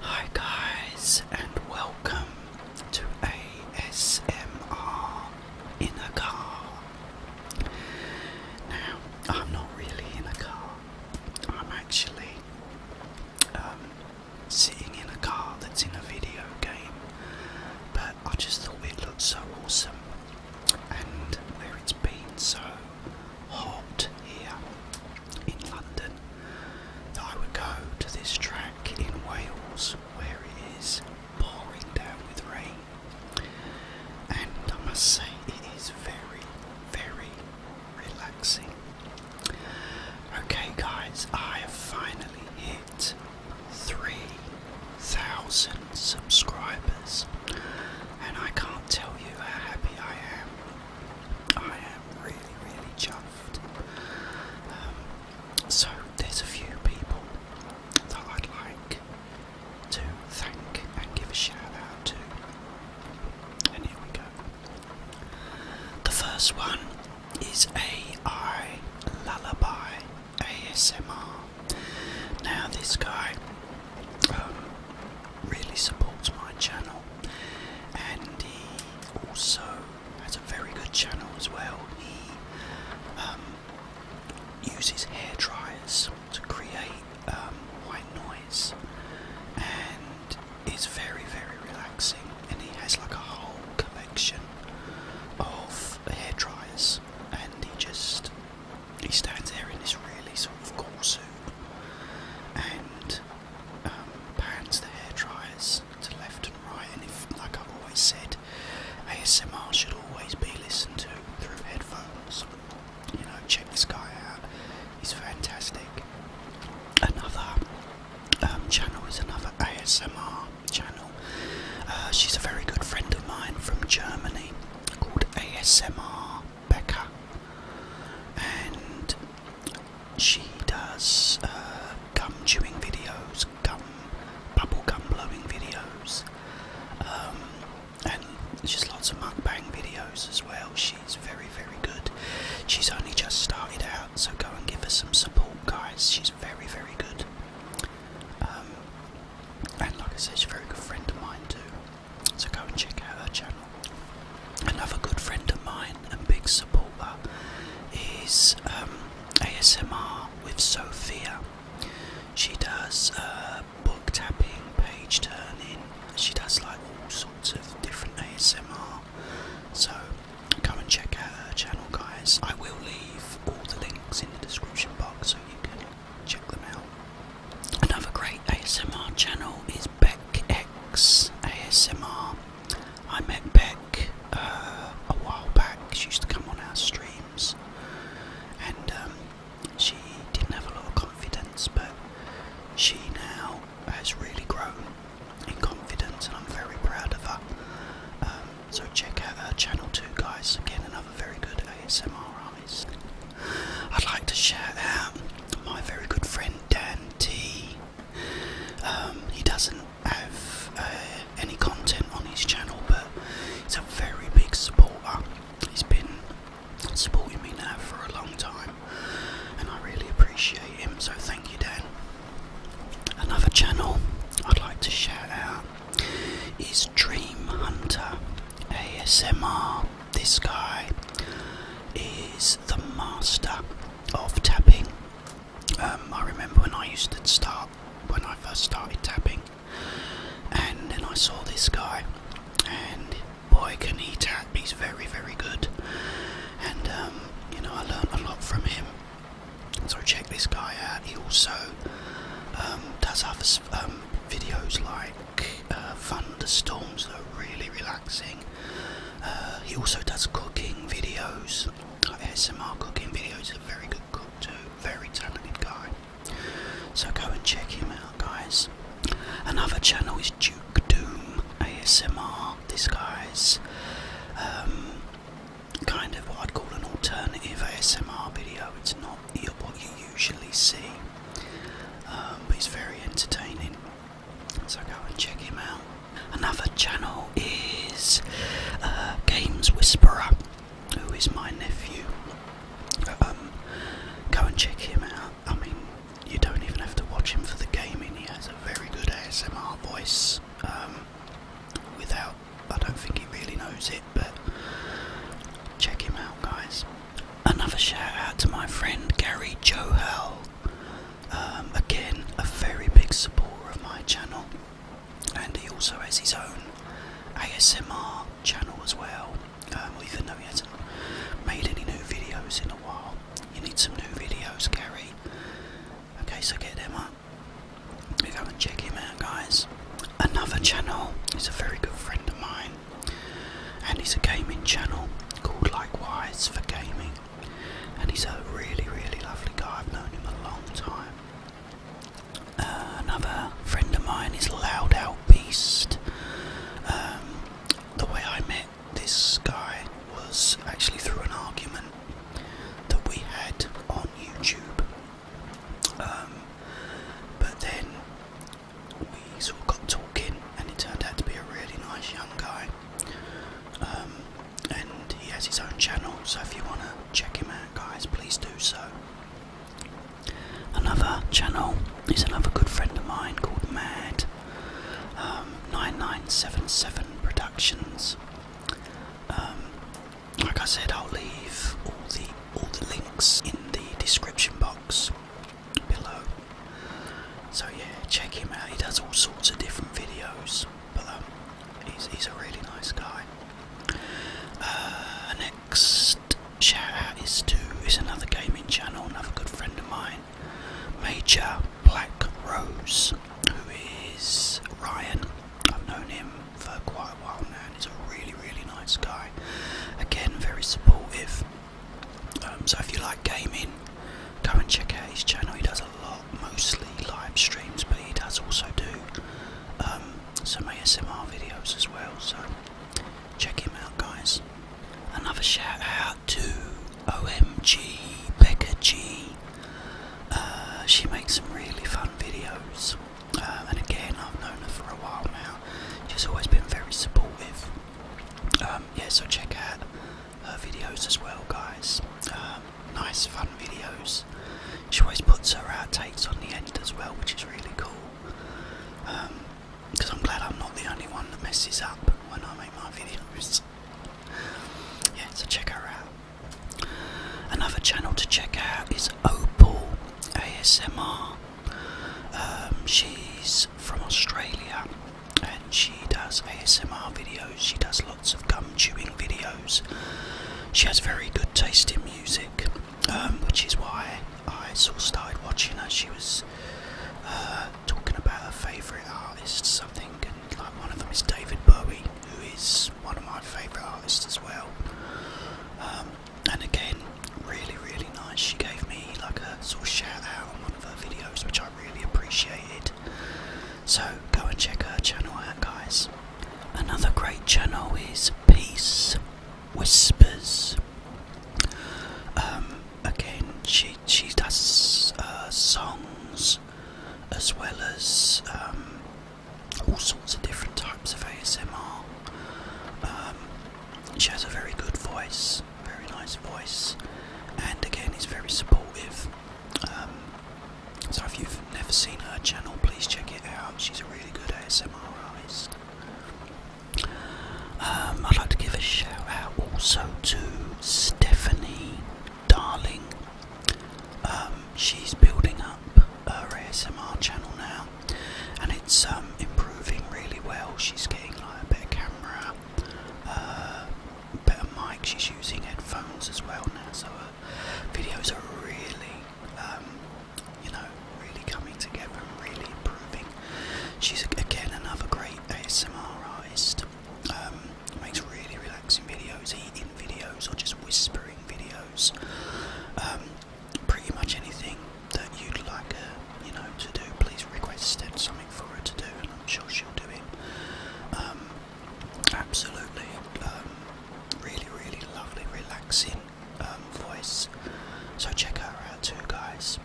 Hi guys and welcome to ASMR in a car. Now I'm not really in a car. I'm actually um, sitting in a car that's in a video game, but I just thought it looked so awesome, and where it's been so hot here in London, that I would go to this track in Wales where it is pouring down with rain. And I must say, it is very, very relaxing. Okay, guys, I have finally hit 3,000 subscribers, and I can't tell you how happy I am. I am really, really chuffed. Um, so, there's a few people that I'd like to thank and give a shout out to. And here we go. The first one is AI Lullaby. ASMR. Now, this guy um, really supports my channel, and he also has a very good channel as well. He um, uses hair dryers to create um, white noise, and it's very, very relaxing. And he has like a whole collection of hair dryers and he just he stands there in this really sort of cool suit and um, pans the hair dryers to left and right. And if, like I've always said, ASMR should always be listened to through headphones. You know, check this guy out; he's fantastic. Another um, channel is another ASMR channel. Uh, she's a very good friend of mine from Germany called ASMR Becca, and she does uh, gum chewing videos, gum bubble gum blowing videos, um, and just lots of mukbang videos as well. She's very very good. She's only just started out, so go and give her some support, guys. She's very very good. Um, and like I said, she's a very good friend of mine too. So go and check out her channel. Another good friend of mine and big supporter is um, ASMR with Sophia. She does uh, book tapping, page turning. She does like all sorts of different ASMR. So Go and check her channel, guys. I will leave all the links in the description box so you can check them out. Another great ASMR channel is Beck X ASMR. I met Beck uh, a while back. She used to come on our streams, and um, she didn't have a lot of confidence, but she now has really grown in and I'm very proud of her. Um, so check out her channel too, guys. Again, another very good ASMR I'd like to shout out my very good friend Dan T. Um, he doesn't have uh, any content on his channel, but he's a very big supporter. He's been supporting me now for a long time, and I really appreciate him. So thank you, Dan. Another channel I'd like to shout out is Dream Hunter ASMR. This guy is the master of tapping. Um, I remember when I used to start, when I first started tapping, and then I saw this guy, and boy, can he tap! He's very, very good, and um, you know, I learned a lot from him. So check this guy out. He also um, does other um, videos like uh, thunderstorms that are really relaxing. Uh, he also does cooking videos, ASMR cooking videos. are very good cook too, very talented guy. So go and check him out, guys. Another channel is Duke Doom ASMR. This guy's um, kind of what I'd call an alternative ASMR video. It's not what you usually see, um, but it's very entertaining. So go and check him out. Another channel is uh, Games Whisperer, who is my nephew. Um, go and check him out. I mean, you don't even have to watch him for the gaming. He has a very good ASMR voice. Um, without, I don't think he really knows it, but check him out, guys. Another shout out to my friend Gary Johal, um, again, a very big supporter of my channel, and he also has his own ASMR channel as well. Um, even though he hasn't made any new videos in a while, you need some new videos, Gary. Okay, so get him up. We go to check him out, guys. Another channel He's a very good friend of mine, and he's a gaming channel called Likewise for Gaming. And he's a really, really lovely guy. I've known him a long time. Uh, another friend of mine is Loud Out Beast. Um, the way I met this guy was actually through an argument that we had on YouTube. Um, but then we sort of got talking, and it turned out to be a really nice young guy. Um, and he has his own channel, so if you want to check him out, guys, please do so. Another channel is another good friend of mine called Mad um, 9977 Productions. Um, like I said, I'll leave all the all the links in the description box below. So yeah, check him out. He does all sorts of different videos, but um, he's he's a really nice guy. Uh, next shout out is to is another gaming channel, another good friend of mine. Major Black Rose, who is Ryan. I've known him for quite a while now, he's a really, really nice guy. Again, very supportive. Um, so if you like gaming, go and check out his channel. He does a lot, mostly live streams, but he does also do um, some ASMR videos as well. So check him out, guys. Another shout out to OMG Becca G. Uh, she makes some really fun videos, uh, and again, I've known her for a while now. She's always been very supportive. Um, yeah, so check out her videos as well, guys. Um, nice, fun videos. She always puts her outtakes on the end as well, which is really cool. Um, because I'm glad I'm not the only one that messes up when I make my videos. yeah, so check her out. Another channel to check out is Opal ASMR. Um, she's from Australia and she does ASMR videos. She does lots of gum chewing videos. She has very good taste in music, um, which is why I sort of started watching her. She was uh, talking about her favourite artists, something, and like one of them is David Bowie, who is one of my favourite artists as well. Um, and again, really, really nice. She gave me like a sort of shout out on one of her videos, which I really appreciated. So go and check her channel out, guys. Another great channel is Peace Whispers. Um, again, she she does uh, songs as well as um, all sorts of different types of ASMR. Um, she has a very good voice, very nice voice, and again, is very supportive. Um, so if you've never seen her channel, please check it out. She's a really good ASMR artist. Um, I'd like to give a shout out also to Stephanie Darling. Um, she's building up her ASMR channel now, and it's um, improving really well. She's getting like a better camera, uh, better mic. She's using headphones as well now, so her videos are really, you know, really coming together and really improving. She's again another great ASMR artist. Um, makes really relaxing videos, eating videos, or just whispering videos. Um, pretty much anything that you'd like you know, to do, please request Something for her to do, and I'm sure she'll do it. Um, absolutely, um, really, really lovely, relaxing voice. So check her out too, guys.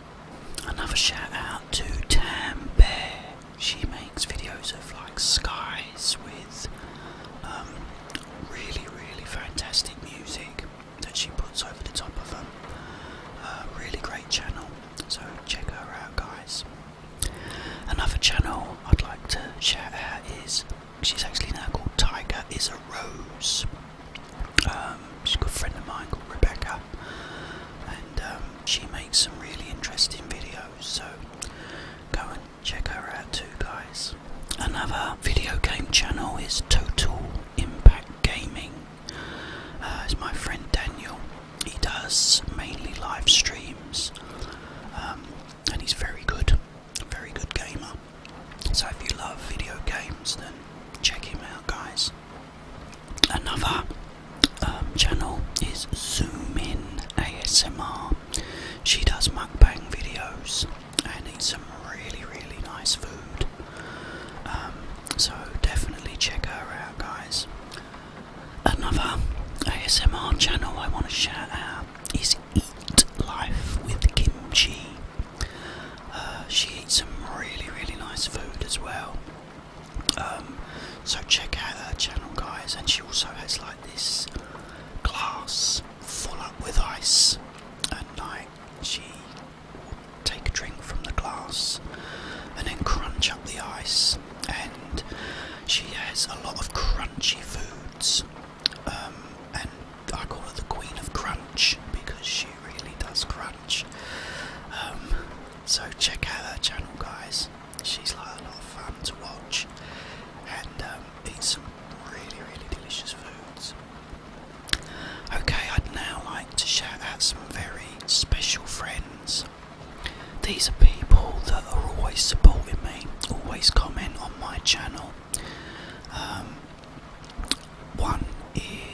Another shout out to Tam Bear. She makes videos of like skies with um, really, really fantastic music that she puts over the top of them. Uh, really great channel, so check her out, guys. Another channel I'd like to shout out is she's actually now called Tiger Is a Rose. Um, she's a good friend of mine called Rebecca, and um, she makes some really interesting videos. So go and check her out too, guys. Another video game channel is Total Impact Gaming. Uh, it's my friend Daniel. He does mainly live streams, um, and he's very good, very good gamer. So if you love video games, then check him out, guys. Another um, channel is Zoom In ASMR. She does mukbang videos and eats some really, really nice food. Um, so definitely check her out, guys. Another ASMR channel I want to shout out is Eat Life with Kimchi. Uh, she eats some really, really nice food as well. Um, so check out her channel, guys. And she also has like this glass full up with ice, and like she will take a drink from the glass and then crunch up the ice. And she has a lot of crunchy foods um, and I call her the Queen of Crunch because she really does crunch. Um, so check out her channel, guys. She's like a lot of fun to watch and um, eat some really, really delicious foods. Okay, I'd now like to shout out some very special friends. These are people that are always supporting me, always comment on my channel. Um, one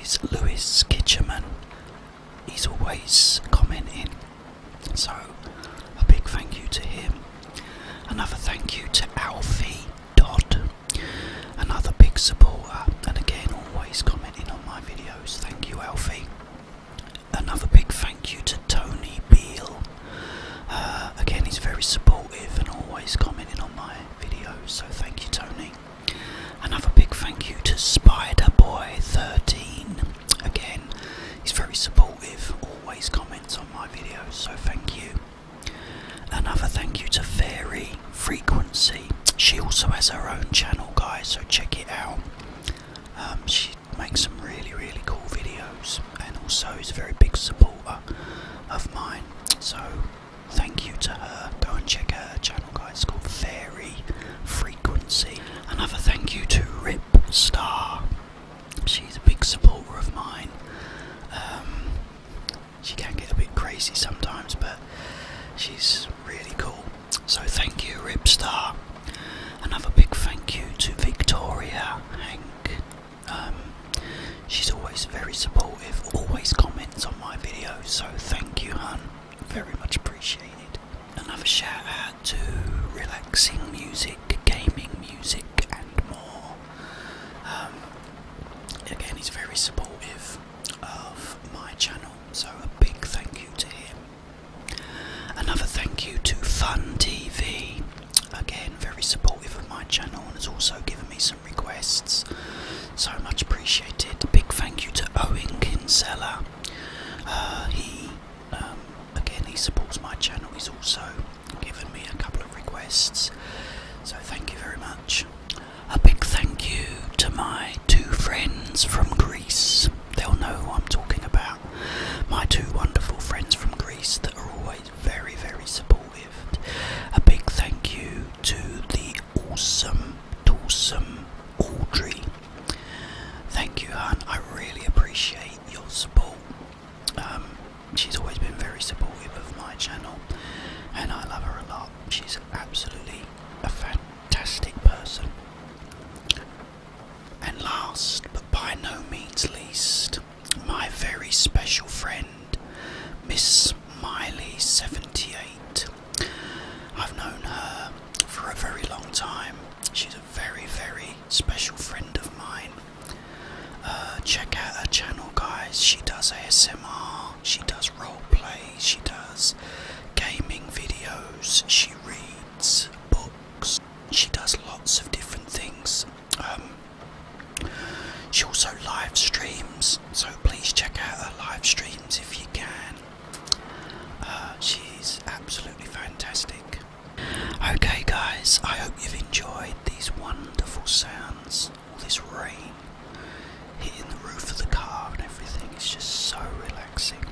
is Lewis Kitcherman. He's always commenting, so a big thank you to him. Another thank you to Alfie Dodd, another big supporter, and again always commenting on my videos. Thank you, Alfie. Another big thank you to Tony Beale. Uh, again, he's very supportive and always commenting on my Video, so thank you, Tony. Another big thank you to Spider Boy 13 Again, he's very supportive, always comments on my videos, so thank you. Another thank you to Fairy Frequency. She also has her own channel, guys, so check it out. Um, she makes some really, really cool videos and also is a very big supporter of mine. So thank you to her. Go and check her channel, guys. It's called Fairy Frequency. Another thank you to Rip Star. She's a big supporter of mine. Um, she can get a bit crazy sometimes, but she's really cool. So thank you, Rip Star. Another big thank you to Victoria, Hank, um, she's always very supportive, always comments on my videos, so thank you, hun. Very much appreciated. Another shout out to relaxing music, gaming music, and more. Um, again, he's very supportive of my channel, so a big thank you to him. Another thank you to Fun TV again very supportive of my channel and has also given me some requests. So much appreciated. Big thank you to Owen Kinsella. Uh, he um, again he supports my channel. He's also given me a couple of requests. So thank you very much. A big thank you to my two friends from Greece. They'll know who I'm talking about. My two wonderful friends from Greece that are always very, very supportive. A big thank you to the awesome, awesome Audrey. Thank you, Han. I really appreciate your support. Um, she's always been very supportive of my channel, and I love her a lot. She's absolutely a fantastic person. And last, but by no means least, my very special friend, Miss Miley 78. I've known her for a very long time. She's a very, very special friend of mine. Uh, check out her channel, guys. She does ASMR, she does role play, she does gaming videos, she reads books, she does lots of different things. Um, she also live streams, so please check out her live streams if you can. Uh, she's absolutely fantastic. Okay, guys, I hope you've enjoyed these wonderful sounds. All this rain hitting the roof of the car and everything is just so relaxing.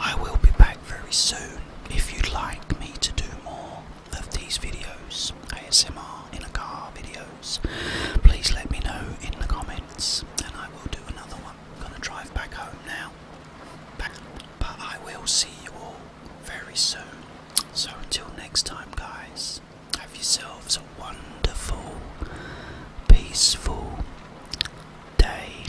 I will be back very soon if you'd like me to do more of these videos, ASMR in a car videos. Please let me know in the comments and I will do another one. I'm going to drive back home now. but I will see you all very soon. So until next time guys, have yourselves a wonderful, peaceful day.